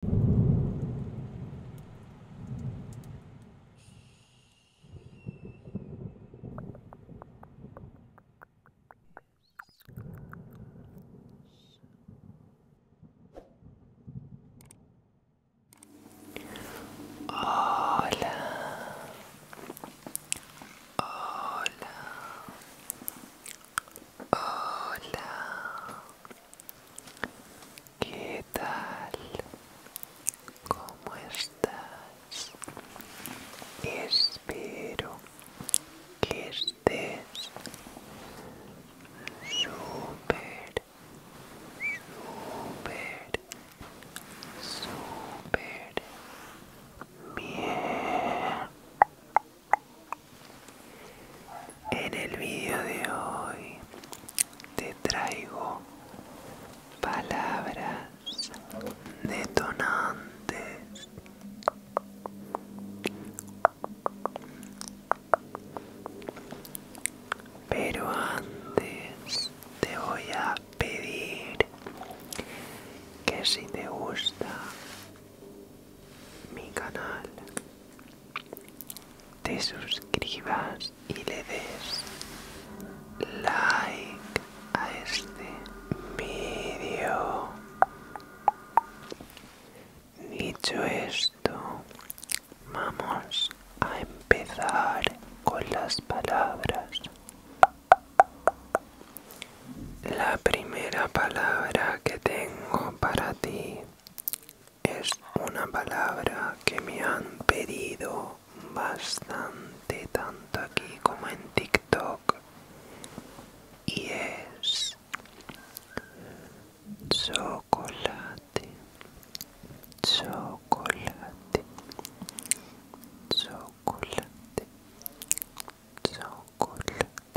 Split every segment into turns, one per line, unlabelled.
Hola. Hola. Hola. ¿Qué tal? ¿Cómo estás? Espero que estés súper, súper, súper bien. En el vídeo de hoy te traigo palabras detonantes. Pero antes te voy a pedir que si te gusta mi canal te suscribas y le des like a este vídeo. Dicho esto, vamos a empezar con las palabras. La primera palabra que tengo para ti es una palabra que me han pedido bastante tanto aquí como en TikTok y es chocolate chocolate chocolate chocolate chocolate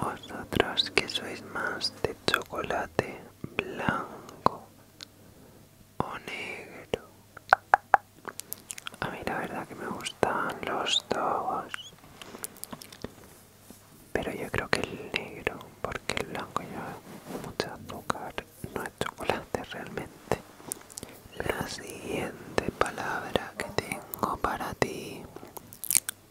vosotros que sois más de chocolate blanco o negro. A mí la verdad que me gustan los dos. Pero yo creo que el negro, porque el blanco lleva mucho azúcar, no es chocolate realmente. La siguiente palabra que tengo para ti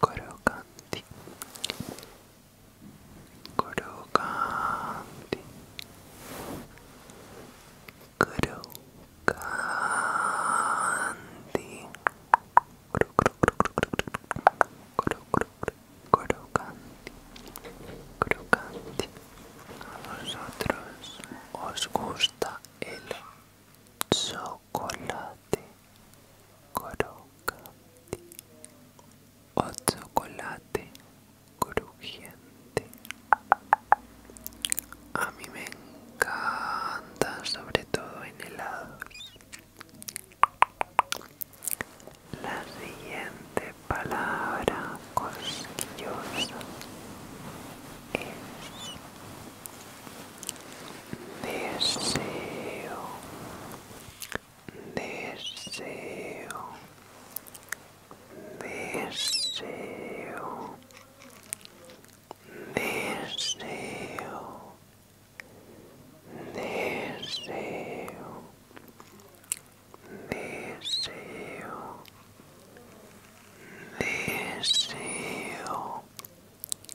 crocanti kru crocanti crocanti a vosotros os gusta el chocolate crocante o chocolate crujiente. A mí me encanta, sobre todo en helados. La siguiente palabra cosquillosa es This you. This you. This you. This you. This you. This you. This you.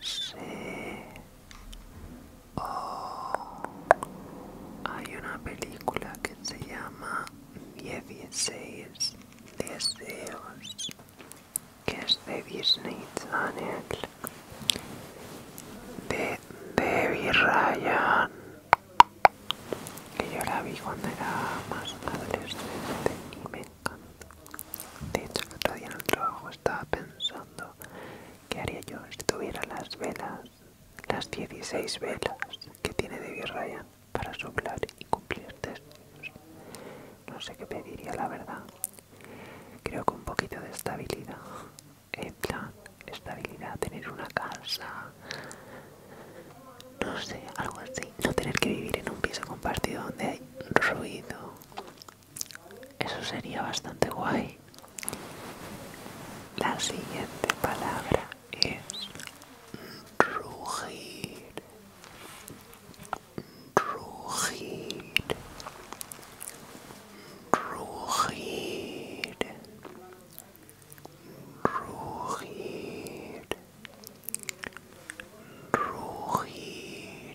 Sí. Oh. Hay una película que se llama 16 deseos que es de Disney Channel de baby Ryan que yo la vi cuando era más adolescente de hecho, el otro el trabajo estaba pensando qué haría yo si tuviera las velas, las 16 velas que tiene David Ryan para soplar y cumplir testigos. No sé qué pediría, la verdad. Creo que un poquito de estabilidad. En plan, estabilidad, tener una casa, no sé, algo así. No tener que vivir en un piso compartido donde hay ruido, eso sería bastante guay. La siguiente palabra es rugir. Rugir. Rugir. Rugir. Rugir.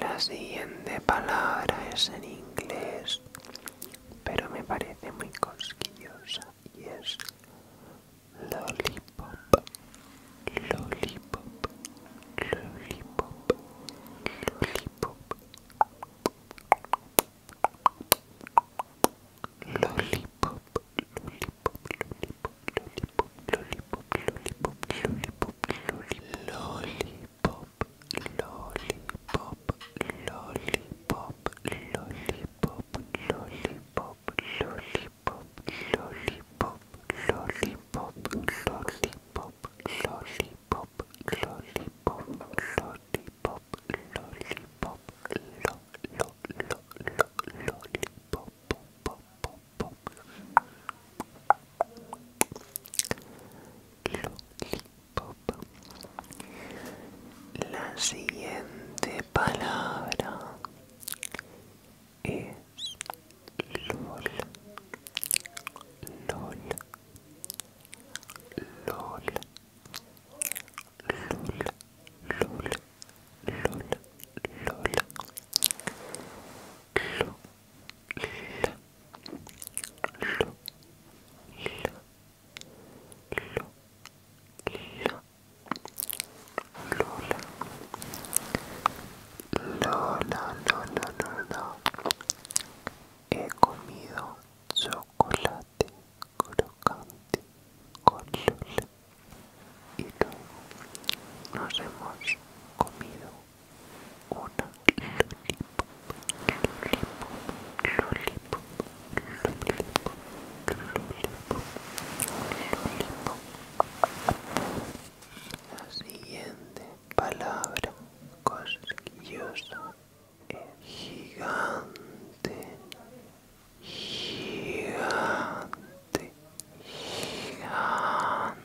La siguiente palabra es en inglés, pero me parece muy cosquillosa y es lollipop, lollipop, lollipop, lollipop, lollipop, lollipop, lollipop, lollipop, lollipop, lollipop, lollipop, lollipop, lollipop, lollipop, lollipop, lollipop, lollipop, lollipop, lollipop, lollipop, lollipop, lollipop, lollipop, lo, lo, lo, lo, lollipop, La siguiente palabra es LOL. LOL. LOL. LOL. LOL. LOL. LOL. LOL. Lola, Lola, Lola, he comido chocolate crocante con Lola y luego nos hemos comido la siguiente palabra cosquillosa es gigante, gigante. Gigante,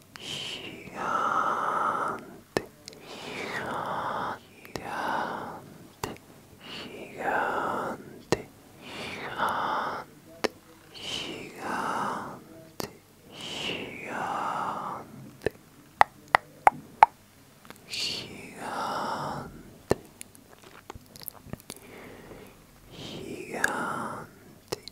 gigante, gigante, gigante, gigante, gigante, gigante, gigante, gigante,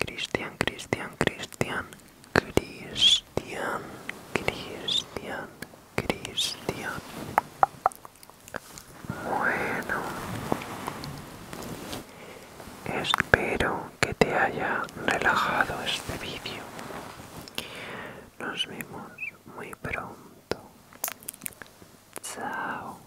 Cristian, Cristian, Cristian, Cristian, Cristian, Cristian. Bueno, espero que te haya relajado este vídeo. Nos vemos muy pronto. Chao.